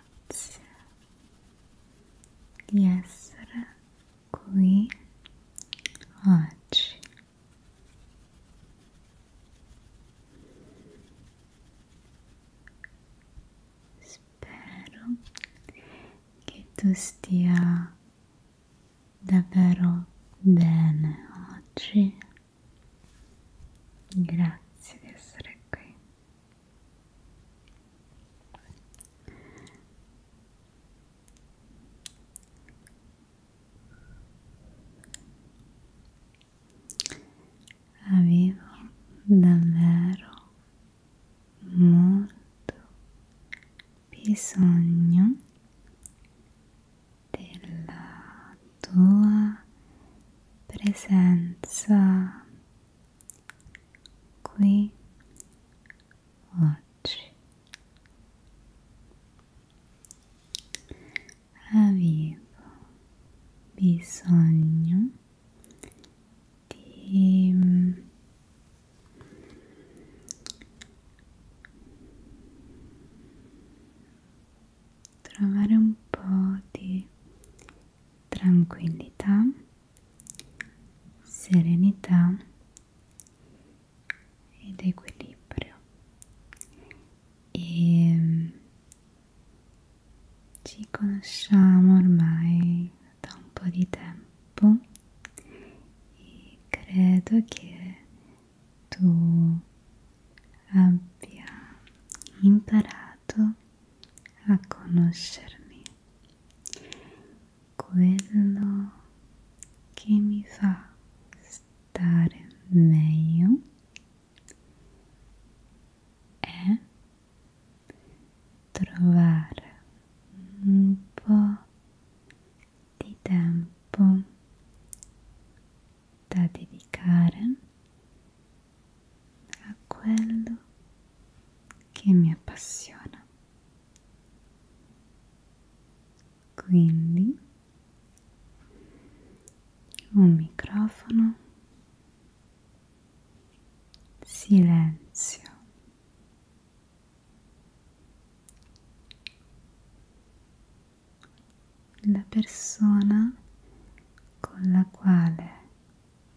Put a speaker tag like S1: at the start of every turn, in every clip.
S1: grazie di essere qui oggi. Spero che tu stia davvero bene oggi Grazie di essere qui. Avevo davvero molto bisogno della tua presenza qui oggi avevo bisogno di trovare un po' di tranquillità, serenità ed equilibrio e mm, ci conosciamo ormai da un po' di tempo e credo che tu abbia imparato aiutato a conoscermi quello che mi fa stare meglio è trovare un po' di tempo da dedicare a quello che mi appassiona. Quindi un microfono, silenzio. La persona con la quale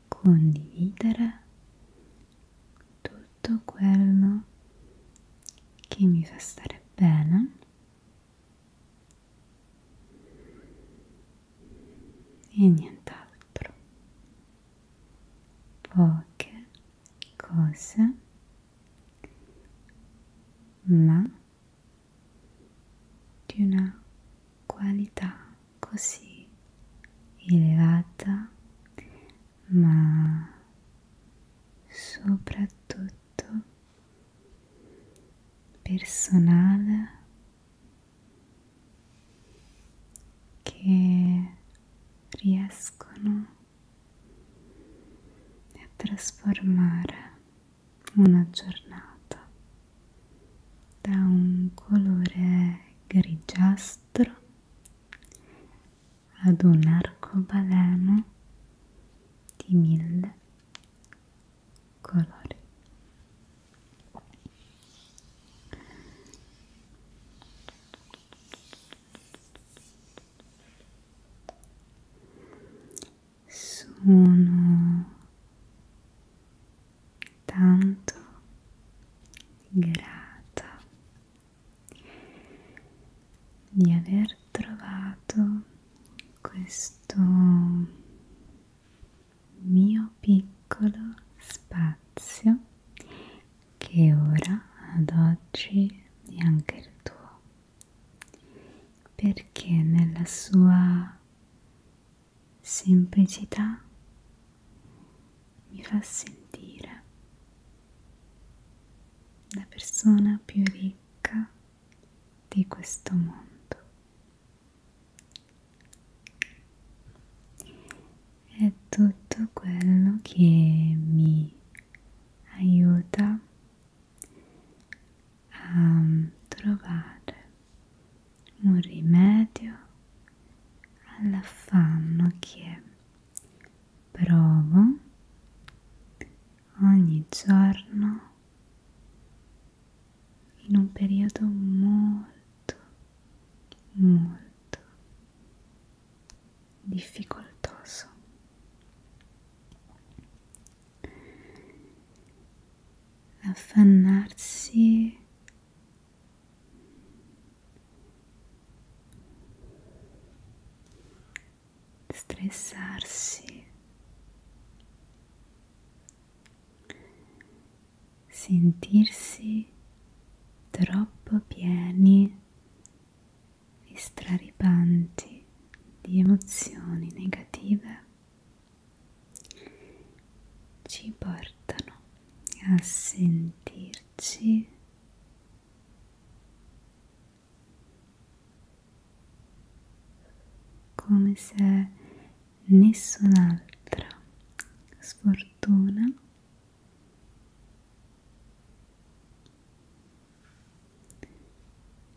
S1: condividere tutto quello che mi fa stare bene e nient'altro poche cose ma di una qualità così elevata ma soprattutto personale che riescono a trasformare una giornata da un colore grigiastro ad un arcobaleno di mille colori. Sono tanto grata di aver trovato questo mio piccolo spazio che ora ad oggi è anche il tuo perché nella sua semplicità mi fa sentire la persona più ricca di questo mondo. È tutto quello che mi aiuta a trovare un rimedio all'affanno che provo ogni giorno in un periodo molto molto difficoltoso affannarsi stressarsi sentirsi troppo pieni e straripanti di emozioni negative ci portano a sentirci come se nessun'altra sfortuna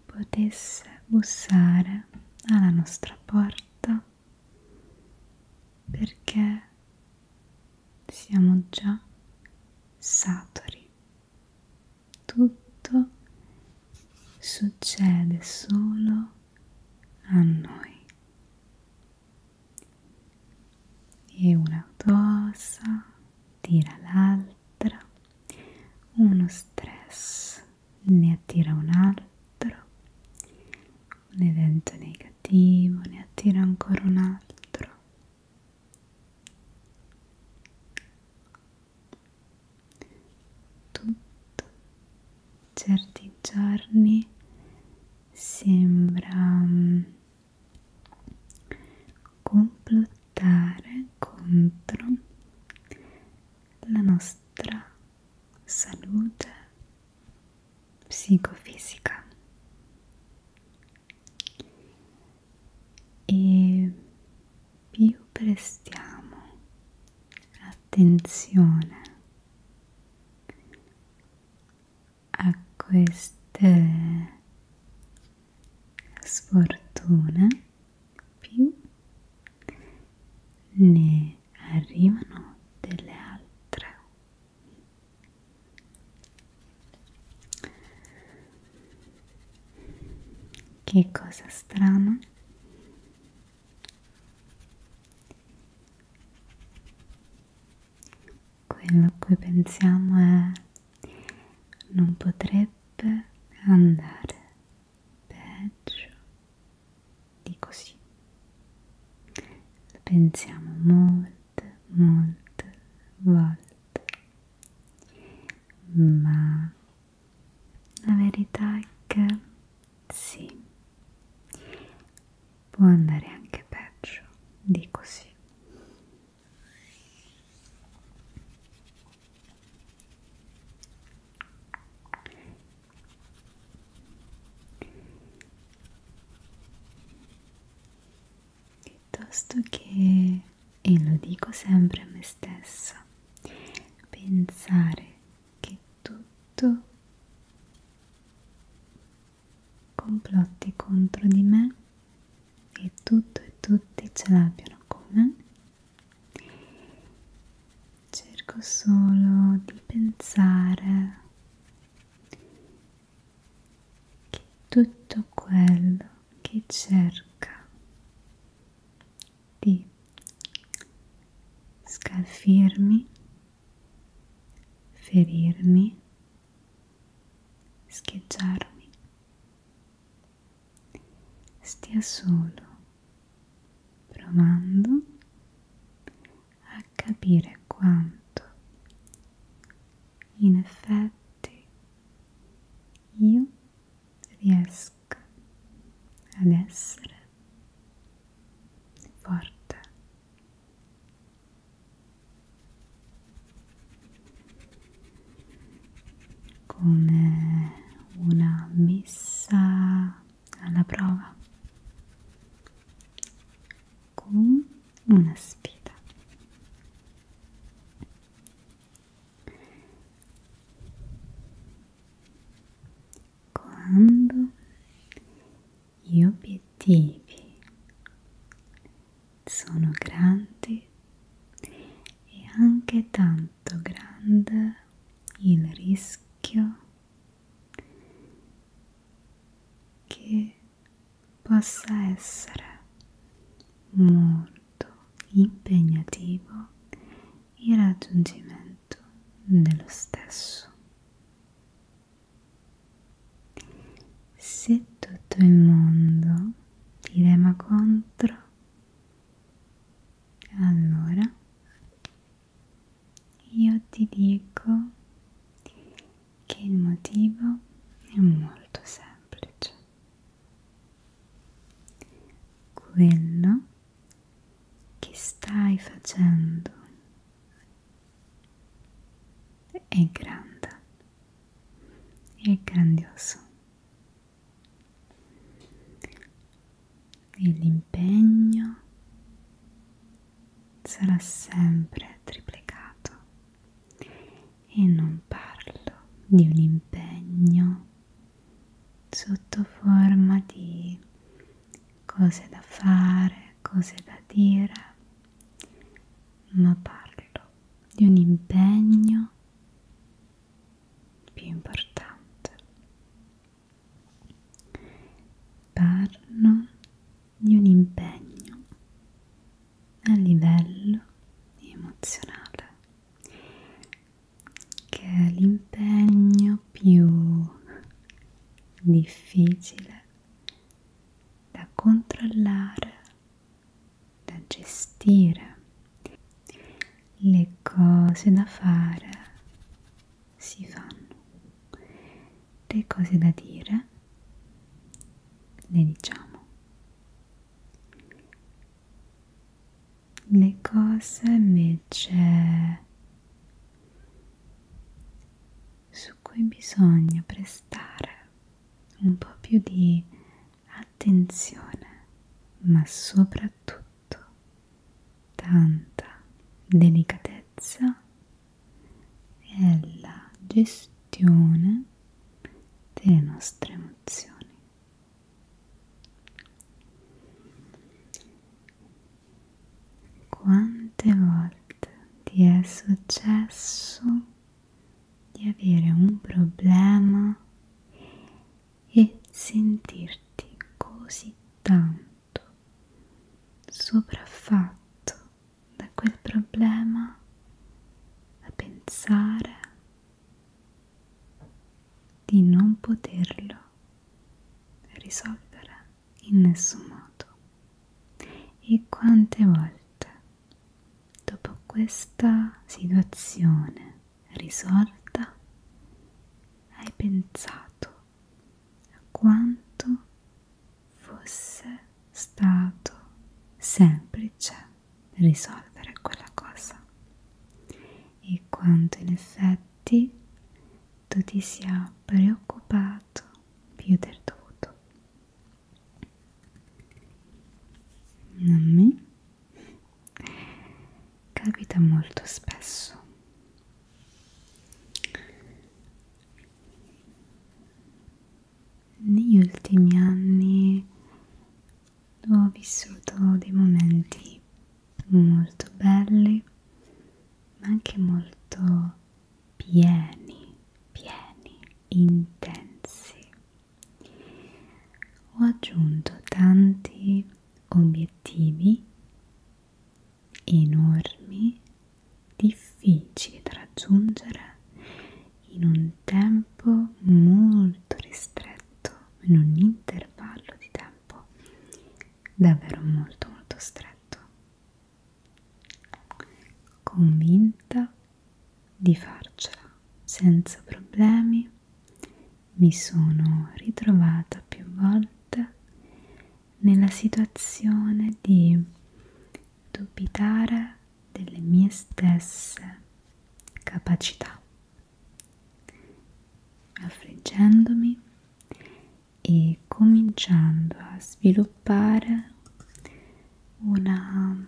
S1: potesse bussare alla nostra porta perché siamo già saturi. Tutto succede solo a noi. E una cosa tira l'altra, uno stress ne attira un altro, ne tenta negativo, ne attira ancora un altro tutto certi giorni sembra mm, complottare contro la nostra salute psicofisica e più prestiamo attenzione a queste sfortune più ne arrivano delle altre che cosa strana quello a cui pensiamo è non potrebbe andare peggio di così pensiamo molte molte volte ma la verità è che sì può andare anche peggio di così piuttosto che, e lo dico sempre a me stessa, pensare che tutto complotti contro di me e tutto e tutti ce l'abbiano con me cerco solo di pensare che tutto quello che cerca di scalfirmi, ferirmi, scheggiarmi, stia solo provando a capire quanto in effetti io riesco ad essere forte. come una messa alla prova con una sfida quando gli obiettivi sono grandi e anche tanto grande il rischio che possa essere molto impegnativo il raggiungimento dello stesso. Se tutto il mondo ti rema contro, allora io ti dico che il motivo è molto semplice. Quello che stai facendo è grande, è grandioso e l'impegno sarà sempre triplicato e non parlo di un impegno sotto forma di cose da fare, cose da dire, ma parlo di un impegno più importante Parlo di un impegno a livello emozionale che è l'impegno più difficile da controllare, da gestire, le cose da fare si fanno le cose da dire le diciamo le cose invece su cui bisogna prestare un po' più di attenzione, ma soprattutto tanta delicatezza è la gestione delle nostre emozioni. Quante volte ti è successo di avere un problema e sentirti così tanto? tutto sopraffatto da quel problema, da pensare di non poterlo risolvere in nessun modo. E quante volte dopo questa situazione risolta hai pensato a quanto fosse stato semplice risolvere quella cosa e quanto in effetti tu ti sia preoccupato più del dovuto. A me capita molto spesso negli ultimi anni ho vissuto dei momenti molto belli ma anche molto pieni, pieni, intensi. Ho aggiunto tanti obiettivi enormi, difficili da raggiungere in un tempo molto ristretto, in un intervallo di tempo davvero molto molto stretto. Convinta di farcela senza problemi, mi sono ritrovata più volte nella situazione di dubitare delle mie stesse capacità, affliggendomi e cominciando a sviluppare una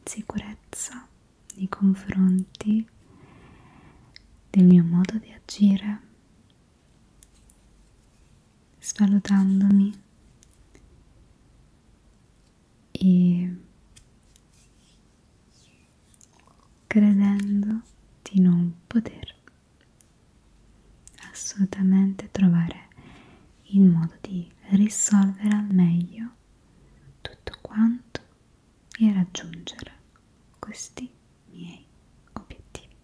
S1: insicurezza nei confronti del mio modo di agire svalutandomi e credendo di non poter assolutamente trovare il modo di risolvere al meglio tutto quanto e raggiungere questi miei obiettivi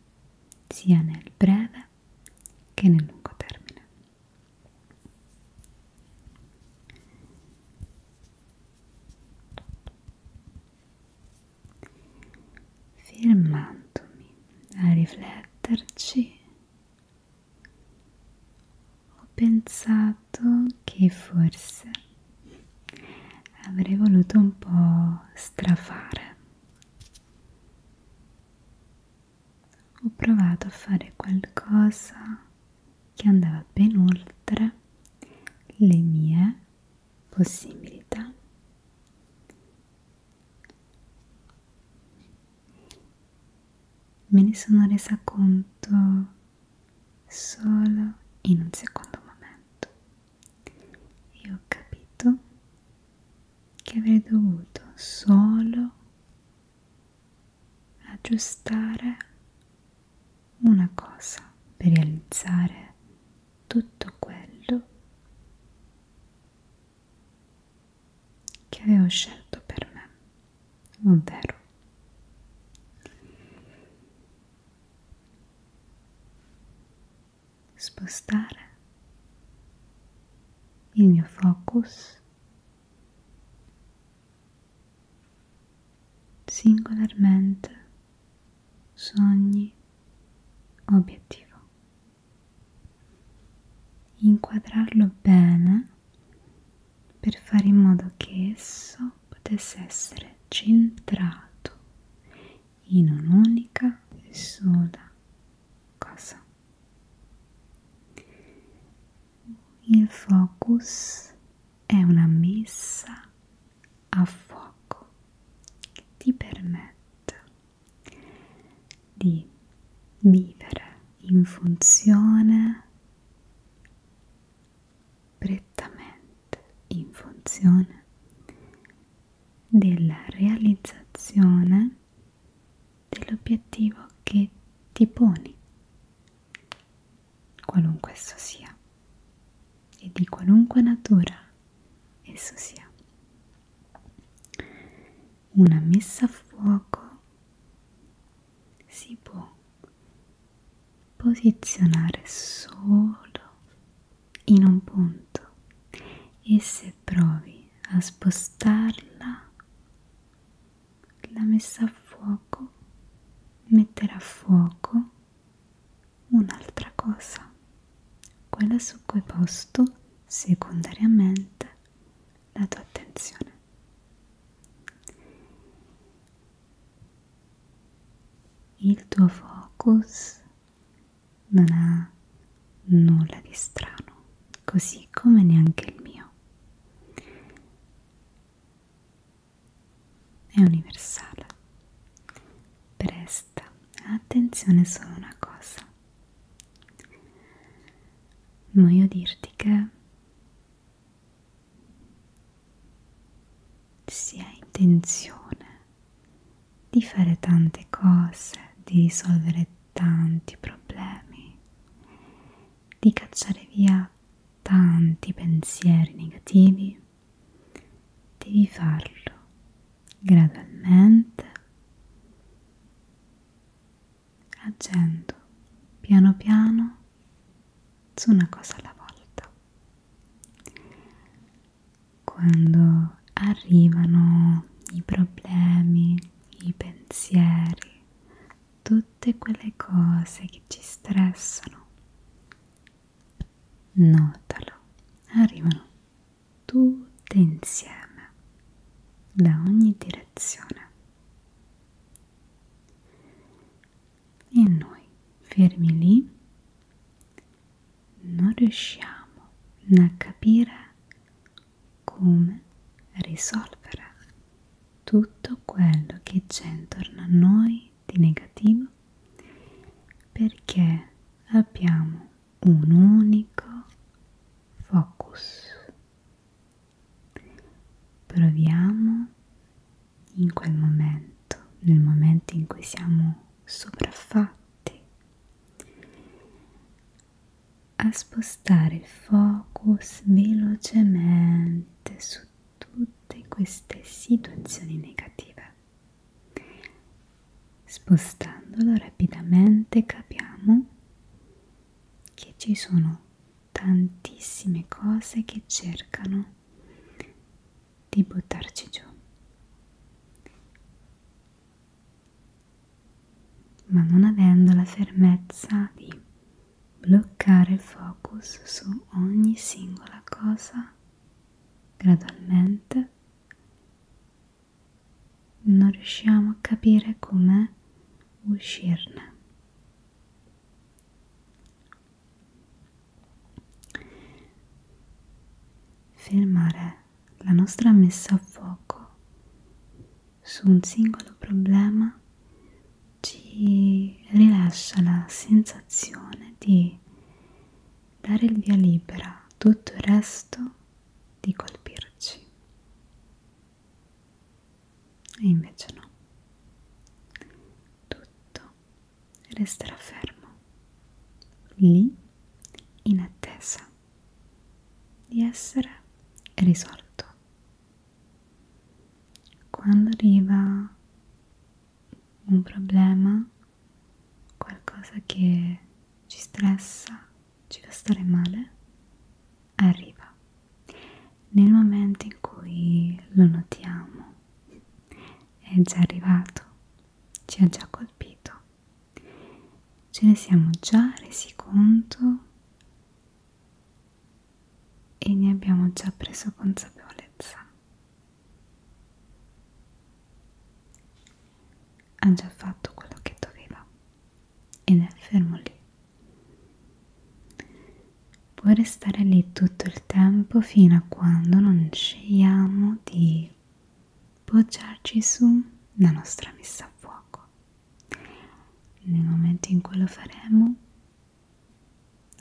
S1: sia nel breve termine che nel lungo termine. Fermandomi a rifletterci, ho pensato che forse avrei voluto un po' strafare ho provato a fare qualcosa che andava ben oltre le mie possibilità me ne sono resa conto solo in un secondo momento e ho capito che avrei dovuto solo aggiustare una cosa per realizzare tutto quello che avevo scelto per me, ovvero spostare il mio focus singolarmente su ogni obiettivo. Inquadrarlo bene per fare in modo che esso potesse essere centrato in un'unica e sola cosa? Il focus è una messa a fuoco che ti permette di vivere in funzione prettamente in funzione della realizzazione dell'obiettivo che ti poni, qualunque esso sia, e di qualunque natura esso sia. Una messa a fuoco si può posizionare solo in un punto e se provi a spostarla, la messa a fuoco metterà a fuoco un'altra cosa, quella su cui hai posto secondariamente la tua attenzione. Il tuo focus non ha nulla di strano, così come neanche il mio. È universale. Presta attenzione solo a una cosa. Voglio dirti che si ha intenzione di fare tante cose, di risolvere tanti problemi, di cacciare via tanti pensieri negativi, devi farlo gradualmente, agendo piano piano su una cosa alla volta. Quando arrivano i problemi, i pensieri, tutte quelle cose che ci stressano. Notalo, arrivano tutte insieme, da ogni direzione. E noi, fermi lì, non riusciamo a capire come risolvere tutto quello che c'è intorno a noi di negativo perché abbiamo un unico focus. Proviamo in quel momento, nel momento in cui siamo sopraffatti, a spostare il focus velocemente su tutte queste situazioni negative. Spostandolo rapidamente capiamo che ci sono tantissime cose che cercano di buttarci giù ma non avendo la fermezza di bloccare il focus su ogni singola cosa gradualmente non riusciamo a capire come uscirne fermare la nostra messa a fuoco su un singolo problema ci rilascia la sensazione di dare il via libera a tutto il resto di colpirci. E invece no, tutto resterà fermo, lì in attesa di essere risolto. Quando arriva un problema, qualcosa che ci stressa, ci fa stare male, arriva. Nel momento in cui lo notiamo, è già arrivato, ci ha già colpito ce ne siamo già resi conto e ne abbiamo già preso consapevolezza. Ha già fatto quello che doveva ed è fermo lì. Puoi restare lì tutto il tempo fino a quando non scegliamo di poggiarci su la nostra messa a fuoco nel momento in cui lo faremo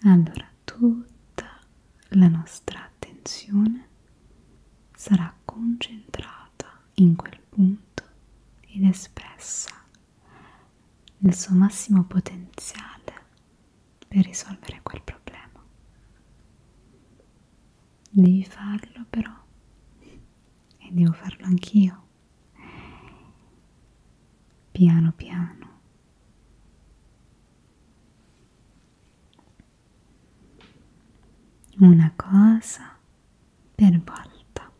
S1: allora tutta la nostra attenzione sarà concentrata in quel punto ed espressa nel suo massimo potenziale per risolvere quel problema devi farlo però e devo farlo anch'io piano piano una cosa per volta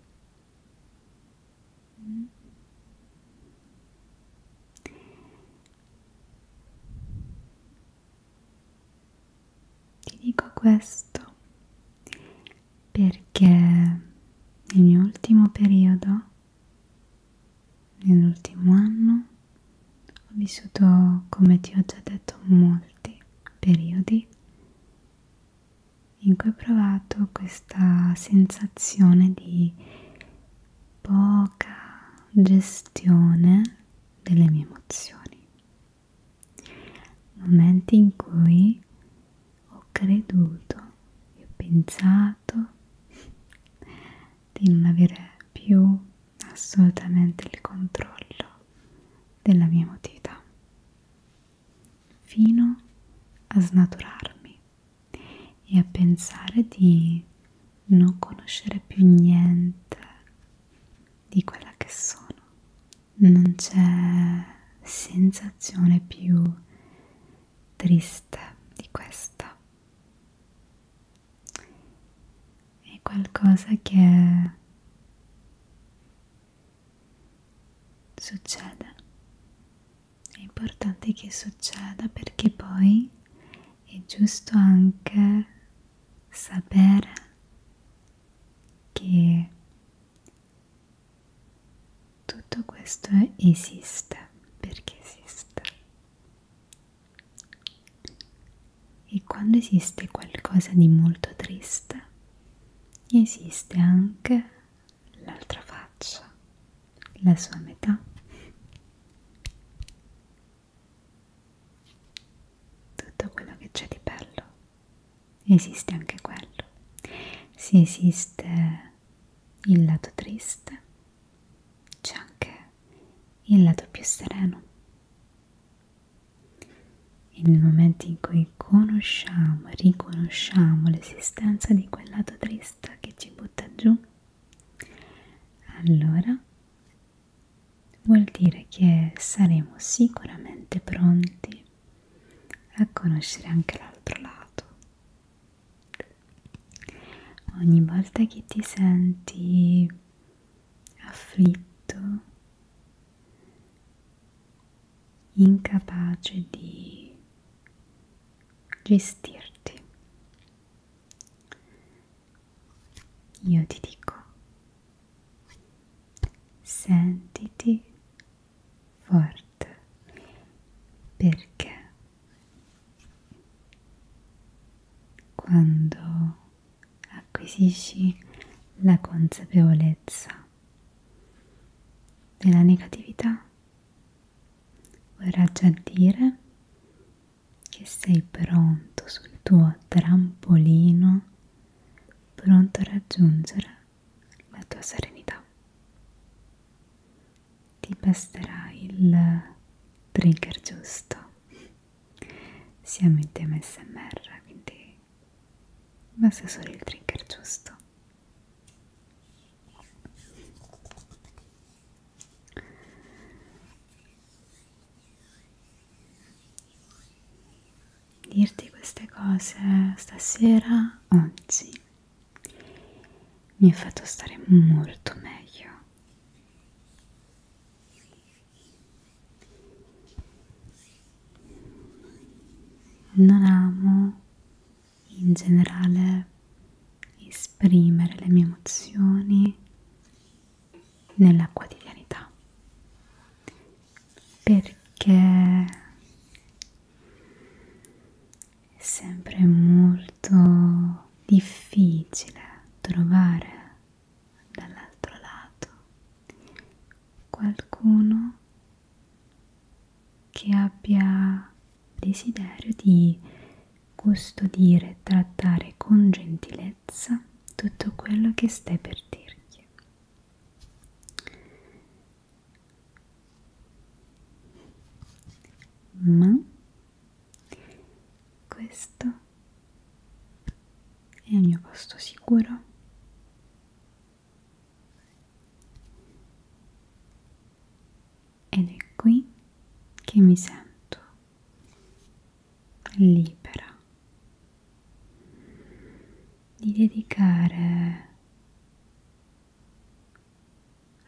S1: ti dico questo perché nel mio ultimo periodo, nell'ultimo anno, ho vissuto, come ti ho già detto, molti periodi in cui ho provato questa sensazione di poca gestione delle mie emozioni momenti in cui ho creduto e ho pensato di non avere più assolutamente il controllo della mia emotività fino a snaturarmi e a pensare di non conoscere più niente di quella che sono non c'è sensazione più triste di questa. È qualcosa che succede. È importante che succeda perché poi è giusto anche sapere che tutto questo esiste perché esiste e quando esiste qualcosa di molto triste esiste anche l'altra faccia la sua metà tutto quello che c'è di bello esiste anche quello, se esiste il lato triste c'è anche il lato più sereno. E nel momento in cui conosciamo, riconosciamo l'esistenza di quel lato triste che ci butta giù, allora vuol dire che saremo sicuramente pronti a conoscere anche l'altro lato. Ogni volta che ti senti afflitto, incapace di gestirti, io ti dico, sentiti forte perché quando acquisisci la consapevolezza della negatività vorrà già dire che sei pronto sul tuo trampolino pronto a raggiungere la tua serenità. Ti basterà il trigger giusto. Siamo in tema SMR, quindi basta solo il trigger giusto dirti queste cose stasera, oggi, mi ha fatto stare molto meglio. Non amo in generale esprimere le mie emozioni nella quotidianità perché è sempre molto difficile trovare dall'altro lato qualcuno che abbia desiderio di custodire e trattare con gentilezza tutto quello che stai per dirgli ma questo è il mio posto sicuro ed è qui che mi sento libera di dedicare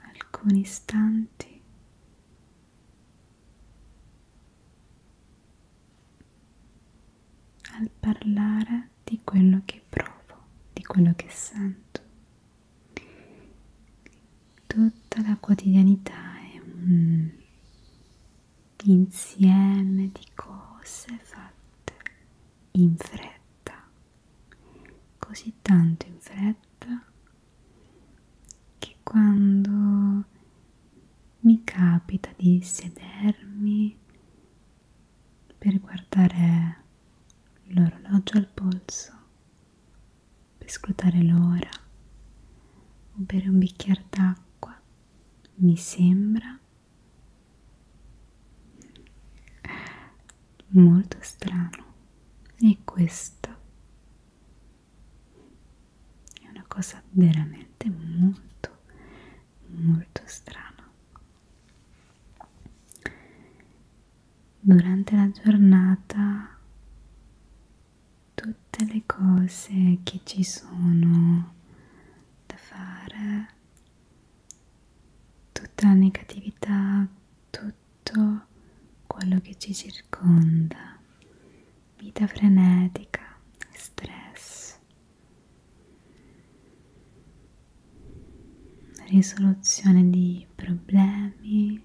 S1: alcuni istanti al parlare di quello che provo, di quello che sento. Tutta la quotidianità è un insieme di cose fatte in fretta, così tanto in fretta che quando mi capita di sedermi per guardare l'orologio al polso, per scrutare l'ora o bere un bicchiere d'acqua, mi sembra molto strano e questo è una cosa veramente molto molto strana durante la giornata tutte le cose che ci sono da fare tutta la negatività, tutto quello che ci circonda, vita frenetica, stress, risoluzione di problemi,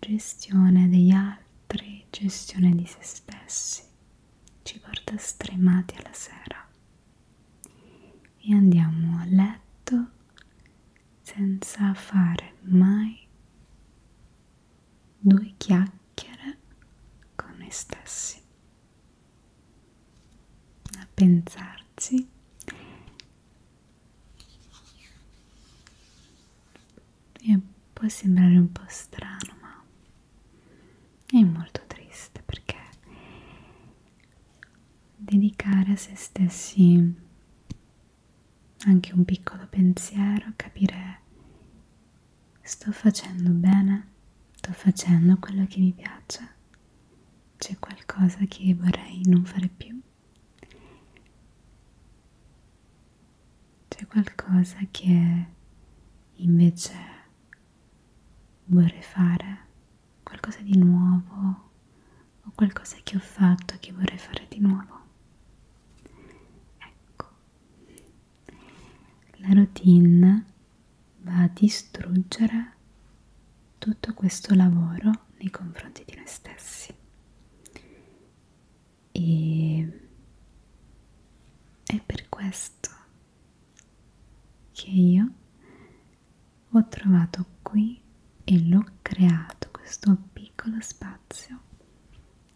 S1: gestione degli altri, gestione di se stessi ci porta stremati alla sera e andiamo a letto senza fare mai due chiacchiere con noi stessi a pensarci e può sembrare un po' strano ma è molto triste perché dedicare a se stessi anche un piccolo pensiero, capire sto facendo bene, sto facendo quello che mi piace, c'è qualcosa che vorrei non fare più, c'è qualcosa che invece vorrei fare, qualcosa di nuovo o qualcosa che ho fatto che vorrei fare di nuovo. Ecco, la routine va a distruggere tutto questo lavoro nei confronti di noi stessi e, e per questo che io ho trovato qui e l'ho creato questo piccolo spazio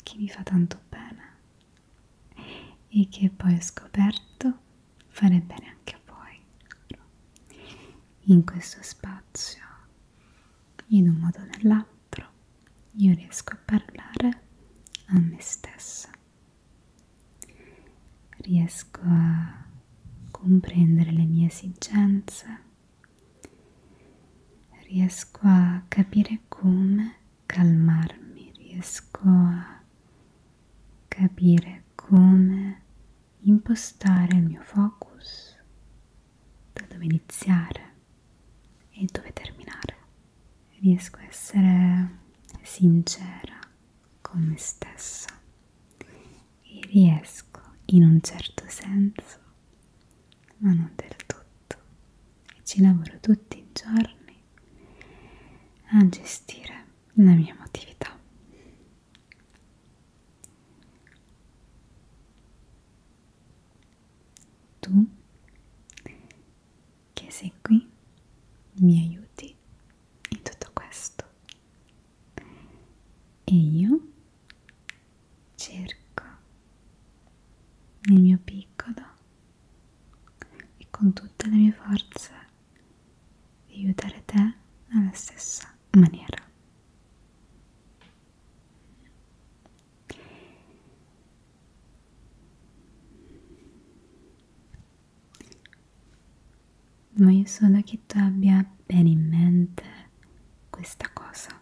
S1: che mi fa tanto bene e che poi ho scoperto fare bene anche a voi in questo spazio in un modo o nell'altro io riesco a parlare a me stessa riesco a comprendere le mie esigenze, riesco a capire come calmarmi, riesco a capire come impostare il mio focus, da dove iniziare e dove terminare. Riesco a essere sincera con me stessa e riesco in un certo senso, ma non del tutto, e ci lavoro tutti i giorni a gestire la mia emotività. Tu che sei qui, mi aiuti in tutto questo. E io cerco nel mio piccolo e con tutte le mie forze di aiutare te alla stessa maniera ma io sono che tu abbia bene in mente questa cosa.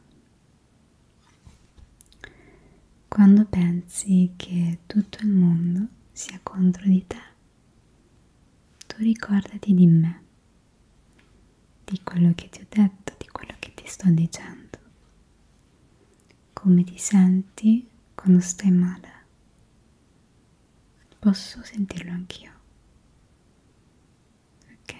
S1: Quando pensi che tutto il mondo sia contro di te, tu ricordati di me, di quello che ti ho detto, di quello che ti sto dicendo. Come ti senti quando stai male? Posso sentirlo anch'io. Ok.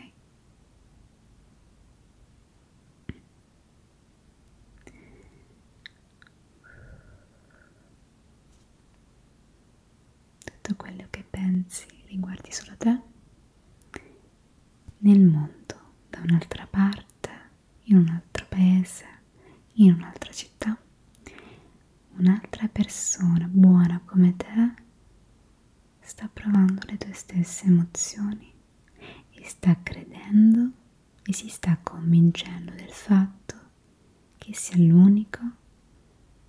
S1: Tutto quello che pensi riguardi solo te. Nel mondo, da un'altra parte, in un altro paese, in un'altra città, un'altra persona buona come te sta provando le tue stesse emozioni e sta credendo e si sta convincendo del fatto che sia l'unico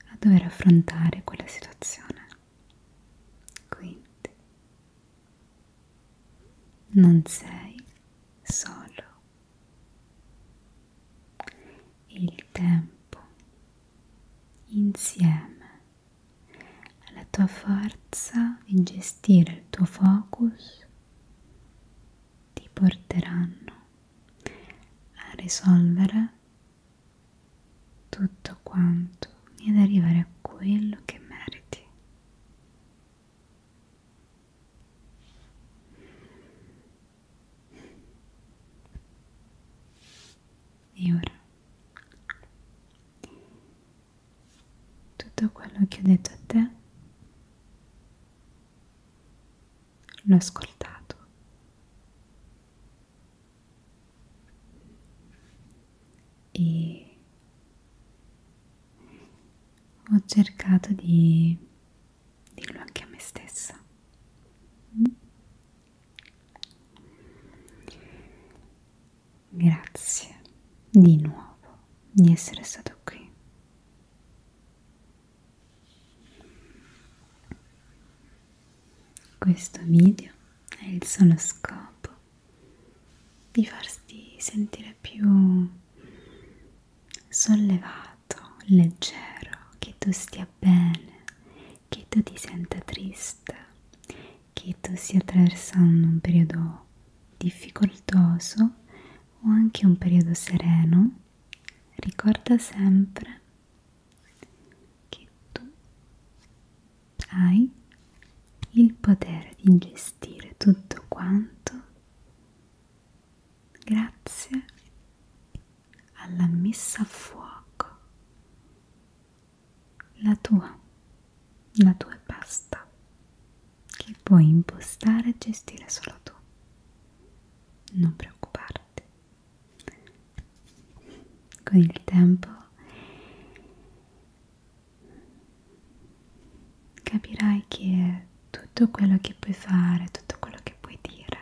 S1: a dover affrontare quella situazione. Quindi non sei solo il tempo insieme alla tua forza di gestire il tuo focus ti porteranno a risolvere tutto quanto e ad arrivare a quello che meriti e ora tutto quello che ho detto a te l'ho ascoltato. E ho cercato di Dillo anche a me stessa. Grazie di nuovo di essere stato qui. Questo video è il solo scopo di farti sentire più sollevato agitato, leggero, che tu stia bene, che tu ti senta triste, che tu stia attraversando un periodo difficoltoso o anche un periodo sereno, ricorda sempre che tu hai il potere di gestire tutto quanto grazie alla messa a fuoco la tua la tua è pasta che puoi impostare e gestire solo tu non preoccuparti con il tempo capirai che tutto quello che puoi fare, tutto quello che puoi dire,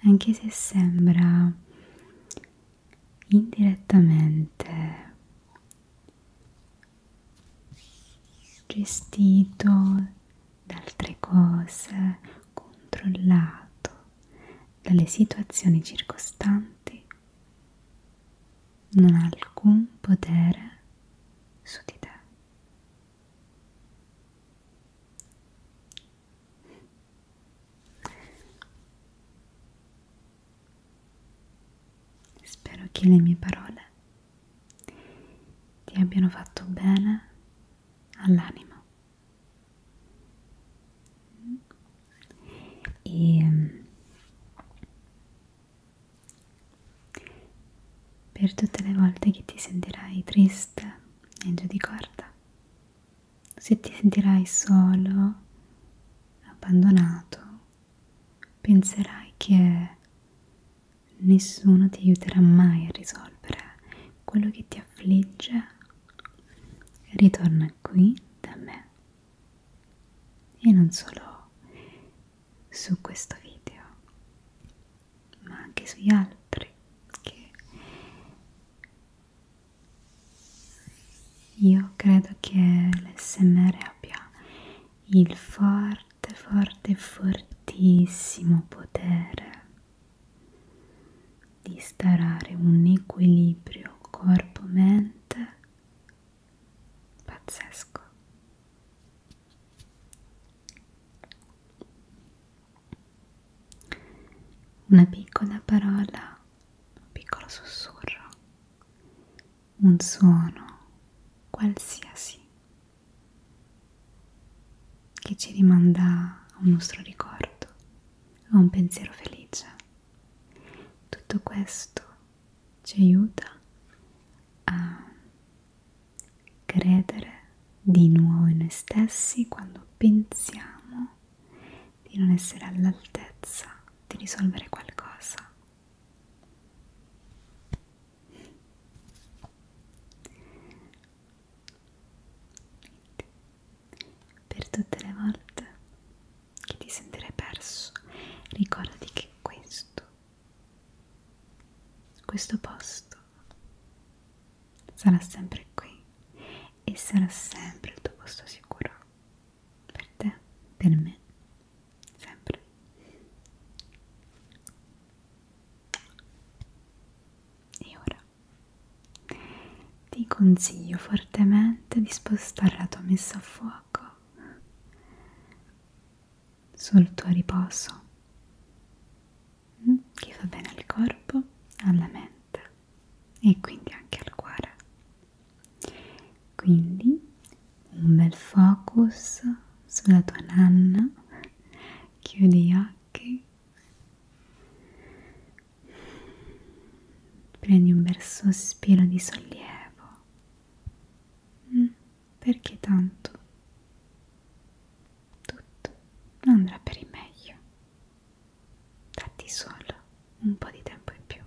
S1: anche se sembra indirettamente gestito da altre cose, controllato dalle situazioni circostanti, non ha alcun potere su di te. Spero che le mie parole ti abbiano fatto bene all'anima e per tutte le volte che ti sentirai triste e giù di corda, se ti sentirai solo, abbandonato, penserai che nessuno ti aiuterà mai a risolvere quello che ti affligge, ritorna qui da me e non solo su questo video ma anche sugli altri che io credo che l'SMR abbia il forte, forte, fortissimo potere di instaurare un equilibrio corpo-mente pazzesco una piccola parola, un piccolo sussurro, un suono qualsiasi che ci rimanda a un nostro ricordo, a un pensiero felice. Tutto questo ci aiuta a credere di nuovo in noi stessi quando pensiamo di non essere all'altezza di risolvere qualcosa. Per tutte le volte che ti sentirai perso, ricordati che questo questo posto sarà sempre qui e sarà sempre il tuo posto sicuro. Per te, per me, sempre. E ora ti consiglio fortemente di spostare la tua messa a fuoco sul tuo riposo mm? che fa bene al corpo, alla mente e quindi anche al cuore. Quindi un bel focus sulla tua nanna, chiudi gli occhi, prendi un bel sospiro di sollievo mm? perché tanto tutto andrà per il meglio. Datti solo un po' di tempo in più,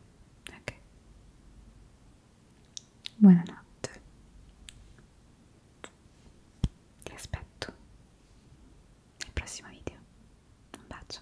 S1: ok? Buonanotte. Ti aspetto nel prossimo video. Un bacio.